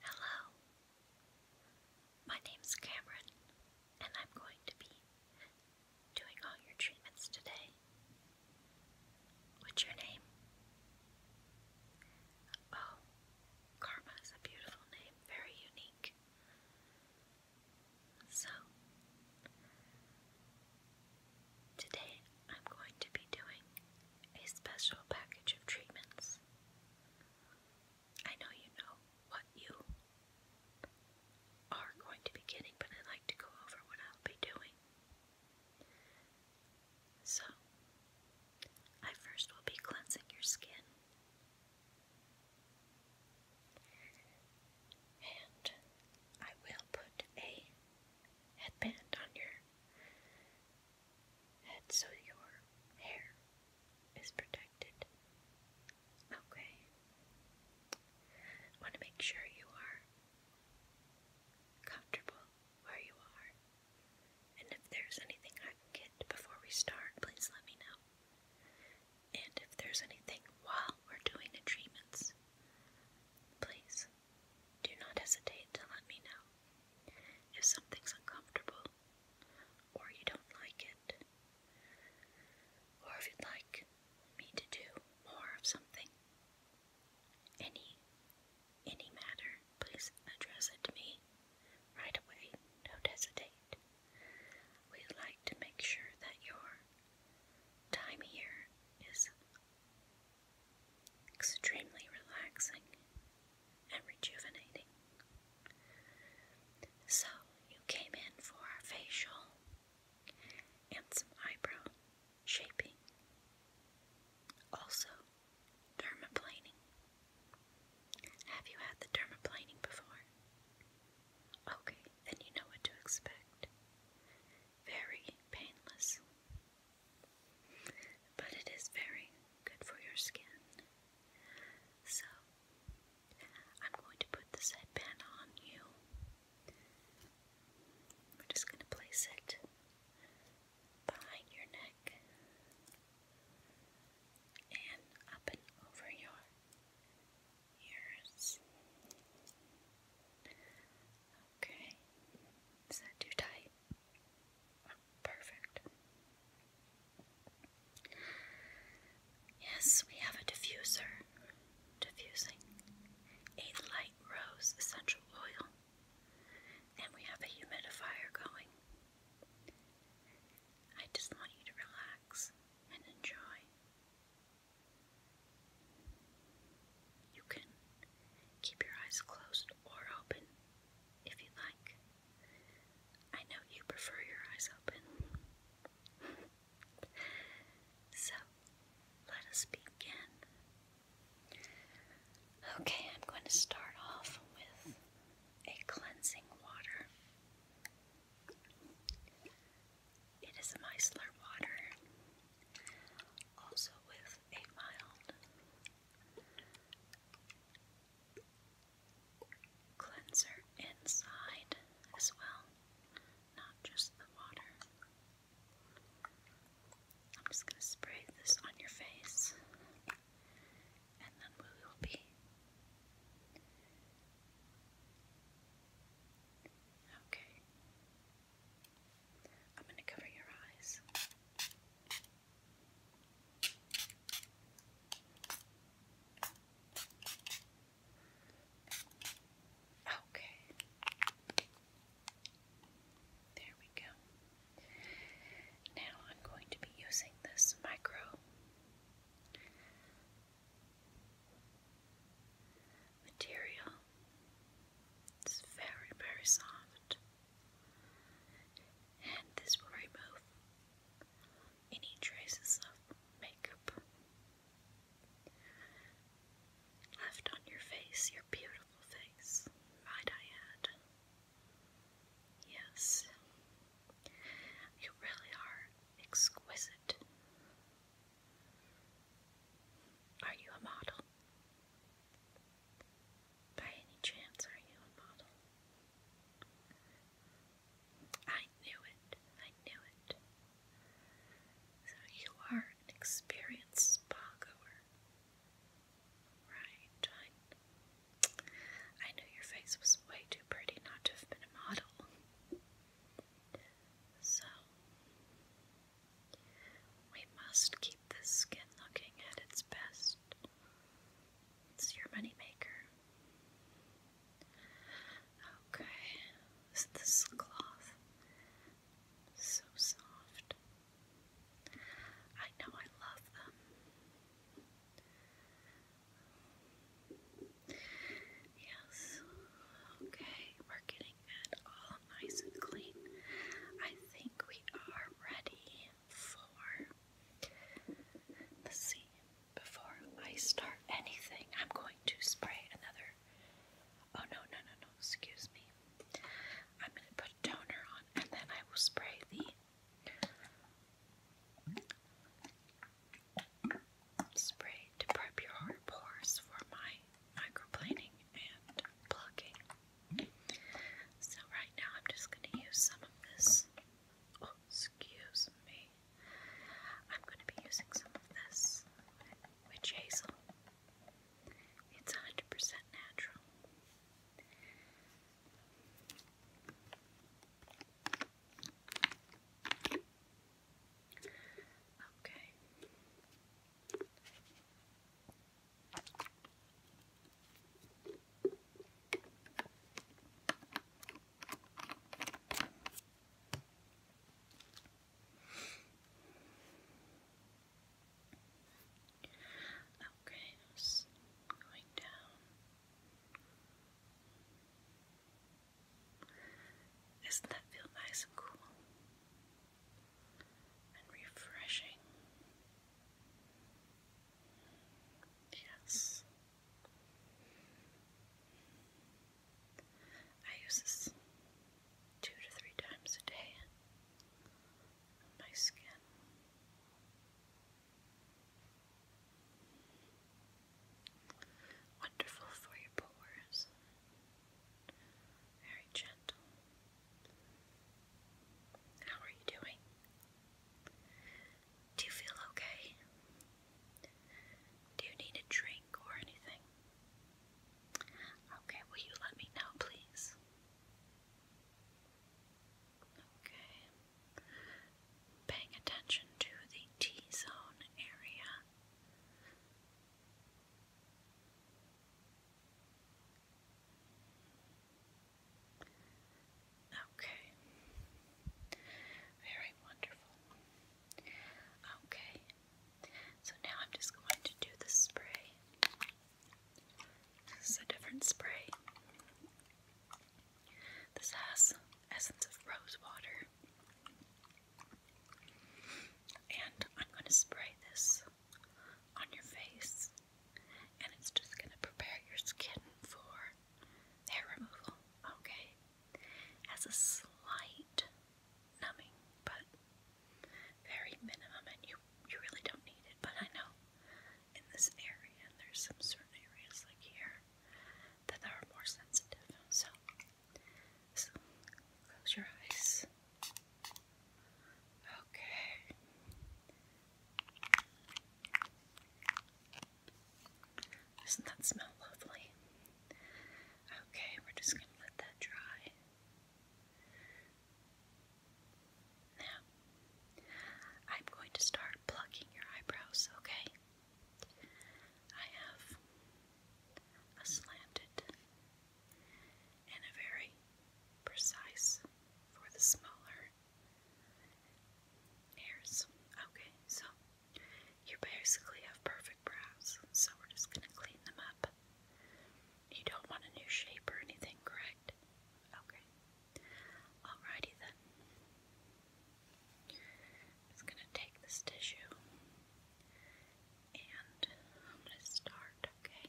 Hello, my name's Cameron, and I'm going to be doing all your treatments today. What's your name? Oh, Karma is a beautiful name, very unique. So, today I'm going to be doing a special package of treatments. I know you know what you are going to be getting, but I'd like to go over what I'll be doing. So, I first will be cleansing your skin. And I will put a headband on your head so your hair is protected. Okay. Want to make sure you are comfortable where you are. And if there's anything I can before we start, please let me know. And if there's anything while we're doing the treatments, please do not hesitate to let me know. If something's uncomfortable, or you don't like it, or if you'd like me to do more of something, any any matter, please address it to me right away. Don't hesitate. We'd like to make sure that your time here is Extremely relaxing and rejuvenating. So, you came in for a facial and some eyebrow shaping, also dermaplaning. Have you had the dermaplaning before? Okay, then you know what to expect. Very painless. But it is very good for your skin. So, I'm going to put this headband on you. We're just going to place it behind your neck and up and over your ears. Okay. Is that too tight? perfect. Yes, we have a diffuser diffusing a light rose essential oil, and we have a humidifier going. I just want you to relax and enjoy. You can keep your eyes closed or open if you like. I know you prefer your eyes open. so, let us begin. Okay, I'm going to start off with a cleansing water. It is micellar water, also with a mild cleanser inside as well, not just the water. I'm just going to spray this on your face and then we will be okay. I'm going to cover your eyes. Okay. There we go. Now I'm going to be using this micro material. It's very, very soft and this will remove any traces of makeup left on your face, your beautiful face, might I Yes, you really are exquisite. Are you a model? By any chance, are you a model? I knew it. I knew it. So you are an experienced spa goer. Right. I, I knew your face was way too pretty not to have been a model. So, we must keep this skin looking at its best. It's your moneymaker. Okay, this cloth so soft. I know I love them. Yes. Okay, we're getting at all nice and clean. I think we are ready for. Let's Before I start anything, I'm going to spray another. Oh no, no, no, no, excuse me. I'm going to put toner on and then I will spray the. Spray to prep your hard pores for my microplaning and plugging. So right now I'm just going to use some of this. Oh, excuse me. I'm going to be using some of this witch hazel. It's 100% natural. Okay. Okay, I going down. Doesn't that feel nice and cool? and refreshing. Yes. I use this two to three times a day on my skin. Wonderful for your pores. Very gentle. How are you doing? Do you feel okay? Do you need a drink or anything? Okay, will you let me know, please? Okay. Paying attention to the T zone area. Okay. Very wonderful. Okay. So now I'm just going to do the spray. This is a different spray. This has essence of rose water. And I'm going to spray this on your face and it's just going to prepare your skin for hair removal, okay? Has a slight numbing, but very minimum, and you, you really don't need it, but I know in this area, there's some certain areas like here that are more sensitive, so, so close your eyes. Okay. Doesn't that smell lovely? Okay, we're just going to let that dry. Now, I'm going to start plucking your eyebrows, okay? I have a slanted and a very precise for the smaller hairs. Okay, so you basically have perfect brows, so we're just going to clean them up. You don't want a new shape or anything, correct? Okay. Alrighty then. i going to take this tissue and I'm going to start, okay?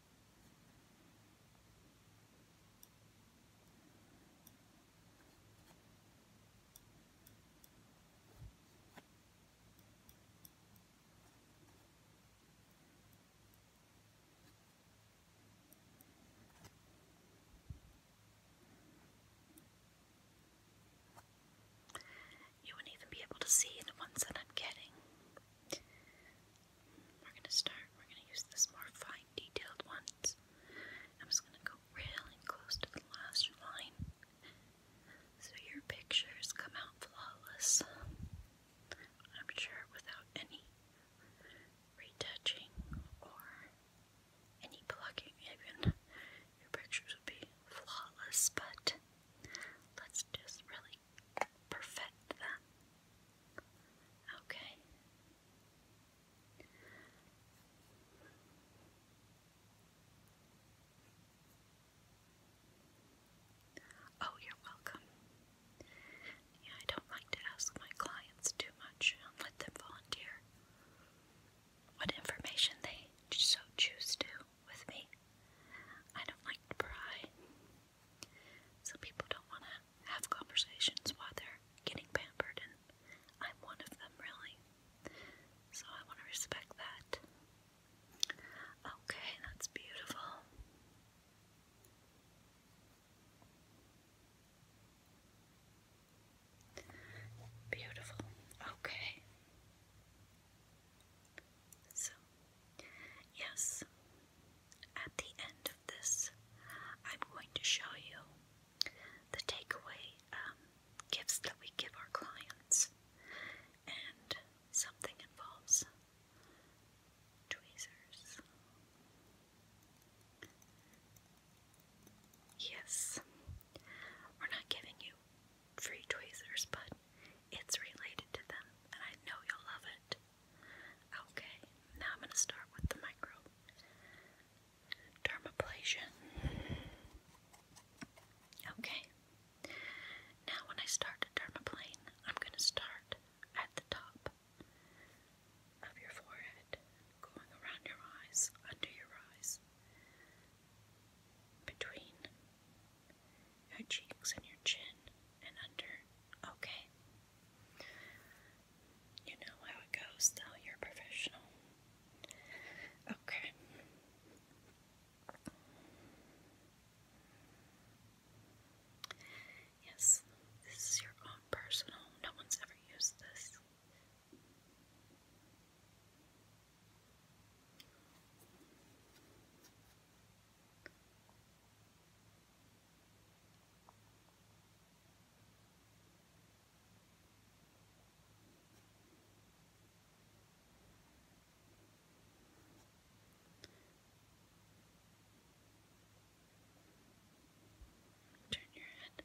You wouldn't even be able to see the ones that I'm getting. We're going to start, we're going to use this more fine detailed ones. I'm just going to go really close to the last line so your pictures come out flawless. I'm sure without any retouching or any plucking, even your pictures would be flawless, but let's just really perfect them. Okay, Oh, you're welcome. Yeah, I don't like to ask my clients too much and let them volunteer what information they so choose to with me. I don't like to pry. Some people don't want to have conversations while they're getting pampered, and I'm one of them, really. So I want to respect that. Okay, that's beautiful. Beautiful. Okay. So, yes, at the end of this, I'm going to show you the takeaway um, gifts that we give our clients, and something involves tweezers. Yes, we're not giving you free tweezers, but it's related to them, and I know you'll love it. Okay, now I'm going to start with the micro dermaplasia. Okay, now when I start a dermaplane, I'm going to start at the top of your forehead, going around your eyes, under your eyes, between your cheeks and your chin, and under. Okay. You know how it goes, Now You're professional. Okay. Yes, this is your own personal. No one's ever used this. Turn your head.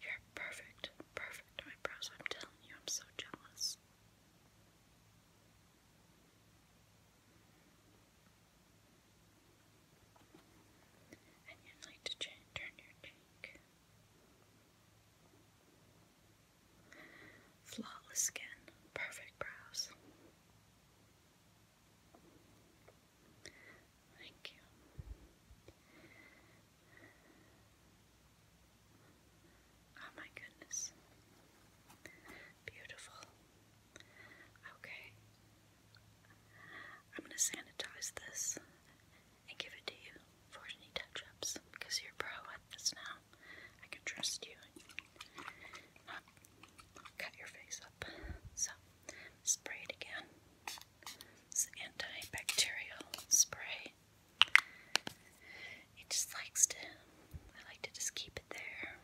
You're perfect, perfect eyebrows. I'm telling you, I'm so jealous. And you'd like to change, turn your cheek. Flawless skin, perfect brows. Thank you. Oh my goodness. Beautiful. Okay. I'm gonna sanitize this and give it to you for any touch-ups because you're pro at this now. I can trust you not cut your face up. So spray it again. It's antibacterial spray. It just likes to, I like to just keep it there.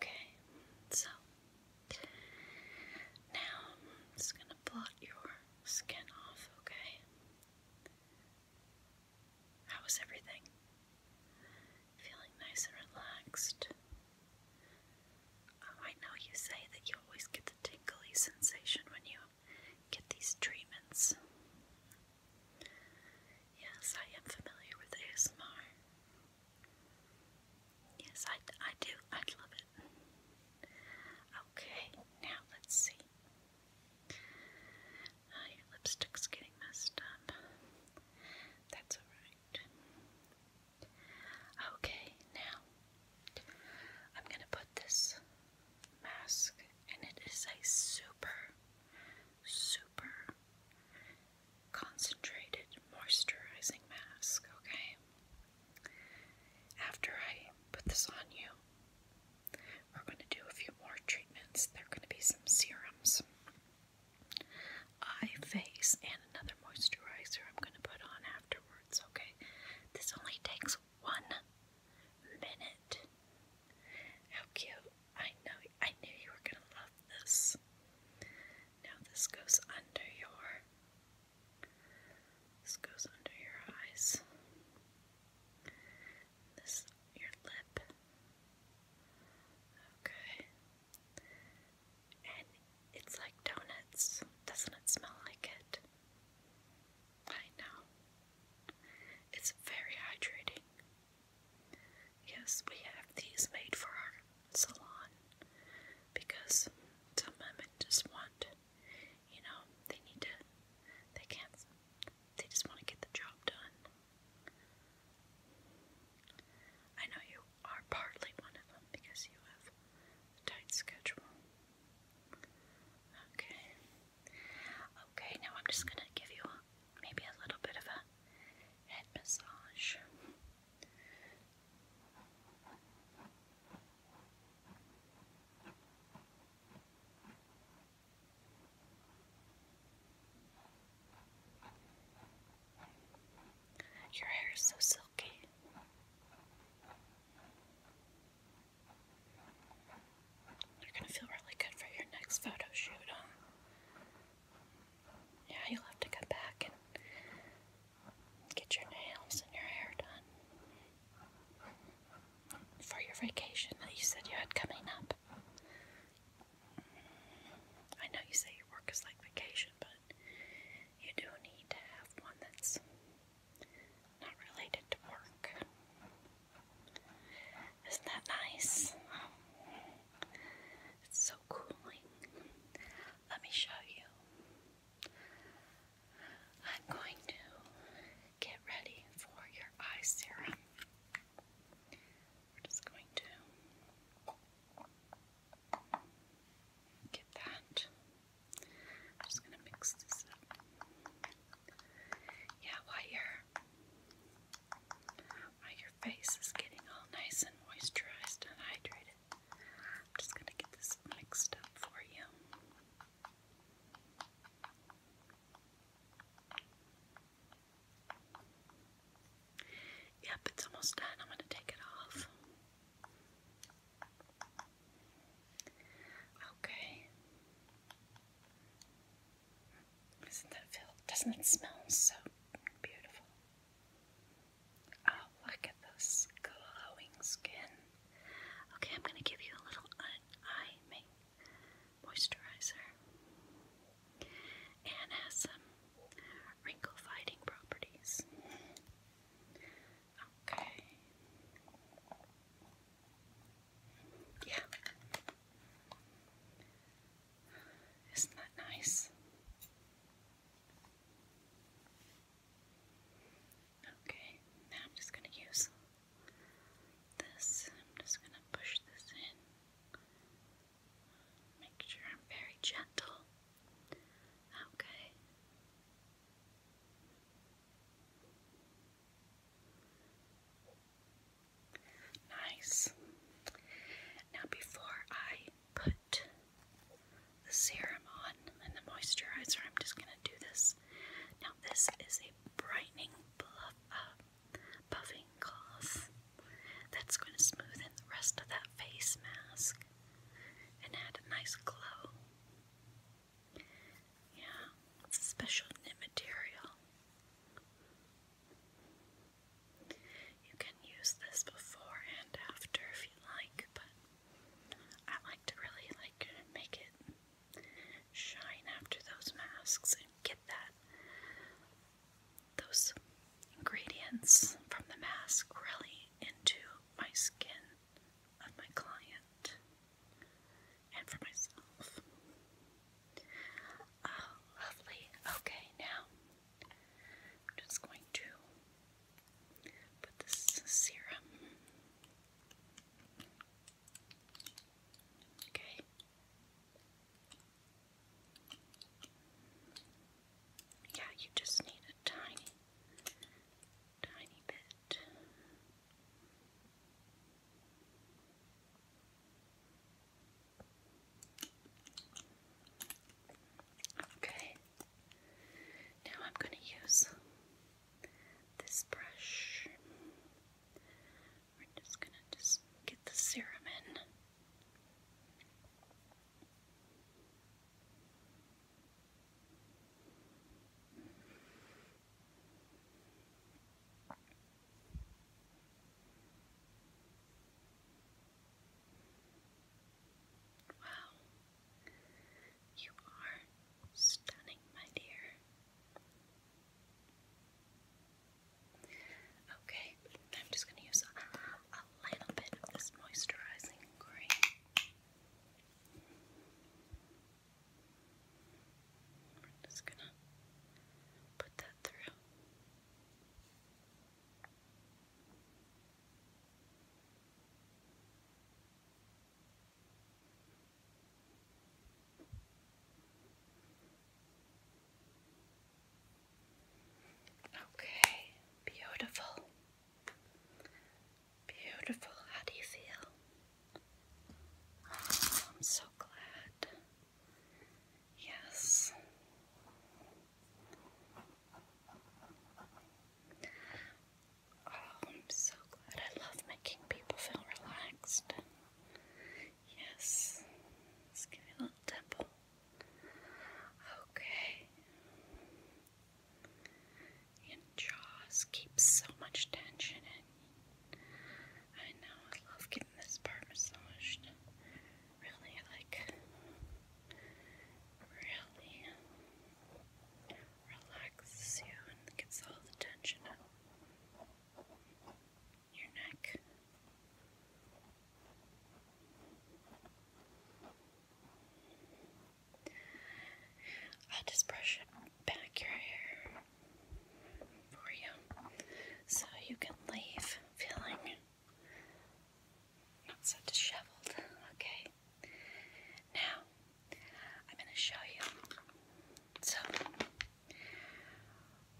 Okay, so now I'm just going to blot your skin off, okay? How was everything? Feeling nice and relaxed? Oh, I know you say that you always get tingly sensation when you get these treatments. Yes, I am familiar with ASMR. Yes, I, I do. I love it. Okay, now let's see. Uh, your lipstick's getting messed up. That's alright. Okay, now I'm going to put this mask, and it is a super, super concentrated moisturizing mask, okay? After I put this on you, we're going to do a few more treatments. There are going to be some serums, eye, face, and another moisturizer I'm going to put on afterwards afterwards, okay? This only takes one minute. How cute. I know I knew you were gonna love this. Now this goes under your this goes under your eyes. This your lip. Okay. And it's like donuts. Doesn't it smell like it? I know. It's very hydrating. Yes, we have these made for our salon because some women just want, you know, they need to, they can't, they just want to get the job done. I know you are partly one of them because you have a tight schedule. Okay. Okay, now I'm just gonna give you maybe a little bit of a head massage. Your hair is so silky. You're gonna feel really good for your next photo shoot, huh? Yeah, you'll have to come back and get your nails and your hair done for your vacation that you said you had coming up. I know you say your work is like vacation, but you do need to have one that's not related to work. Isn't that nice? It's so cooling. Let me show you. I'm going to get ready for your eye serum. We're just going to get that I'm just gonna mix this up. Yeah, while your while your face is getting all nice and moisturized and hydrated, I'm just gonna get this mixed up for you. Yep, it's almost done. I'm going to take it off. Okay. Isn't that feel? Doesn't it smell so beautiful? Oh, look at this glowing skin. Okay, I'm gonna give you a little eye make moisturizer, and has some wrinkle fighting properties. Okay. Yeah. Isn't that nice? Okay, now I'm just going to use this. I'm just going to push this in. Make sure I'm very gentle. Okay. Nice. Now, before I put the serum on and the moisturizer, I'm just going to do this. Now, this is a brightening uh, buffing cloth that's going to smoothen the rest of that face mask and add a nice glow. Yeah, it's a special knit material. You can use this before and after if you like, but I like to really like make it shine after those masks and get that those ingredients from the mask really into my skin of my client and for myself. Oh, lovely. Okay, now I'm just going to put this serum. Okay. Yeah, you just need a tiny tiny bit. Okay, now I'm going to use this brush. We're just going to just get the serum in. Wow, you are stunning, my dear. Okay, I'm just going to use a, a little bit of this moisturizing cream. We're just gonna put that through. Okay, beautiful. Beautiful. How do you feel? Oh, I'm so glad. Yes. Oh, I'm so glad. I love making people feel relaxed. Yes. Let's give you a little dimple. Okay. And Jaws keeps so much tension in. I know, I love getting this part massaged. Really, like, really relaxes you and gets all the tension out your neck. I'll just brush back your hair for you so you can leave feeling not so disheveled, okay? Now, I'm going to show you. So,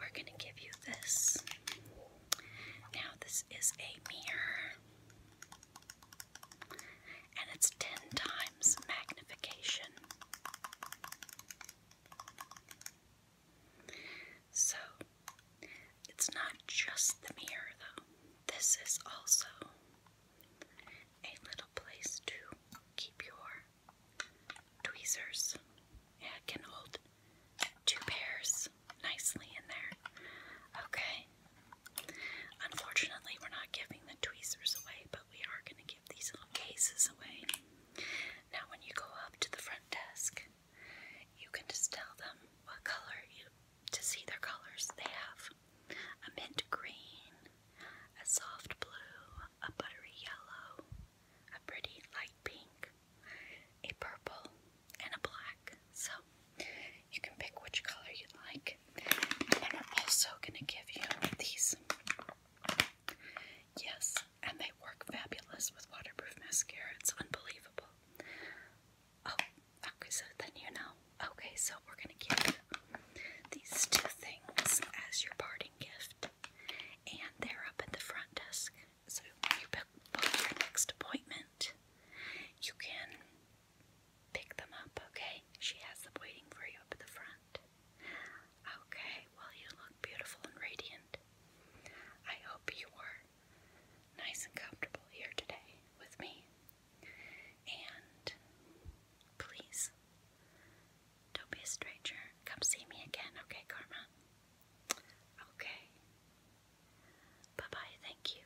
we're going to give you this. Now, this is a mirror and it's 10 times magnification. So, it's not just the mirror though. This is also a little place to keep your tweezers. Yeah, it can hold two pairs nicely in there. Okay, Unfortunately, we're not giving the tweezers away, but we are going to give these little cases away. Now, when you go up to the front desk, you can just tell them what color you to see their colors. They have a mint green, a soft blue, a buttery yellow, a pretty light pink, a purple, and a black. So you can pick which color you like. And we're also going to give you these. Yes, and they work fabulous with waterproof mascara. It's unbelievable. Oh, okay, so then you know. Okay, so we're going to give these two things as your parting gift. And they're up at the front desk. So when you book your next appointment, you can Pick them up, okay? She has them waiting for you up at the front. Okay, well, you look beautiful and radiant. I hope you were nice and comfortable here today with me. And please, don't be a stranger. Come see me again, okay, Karma? Okay. Bye bye, thank you.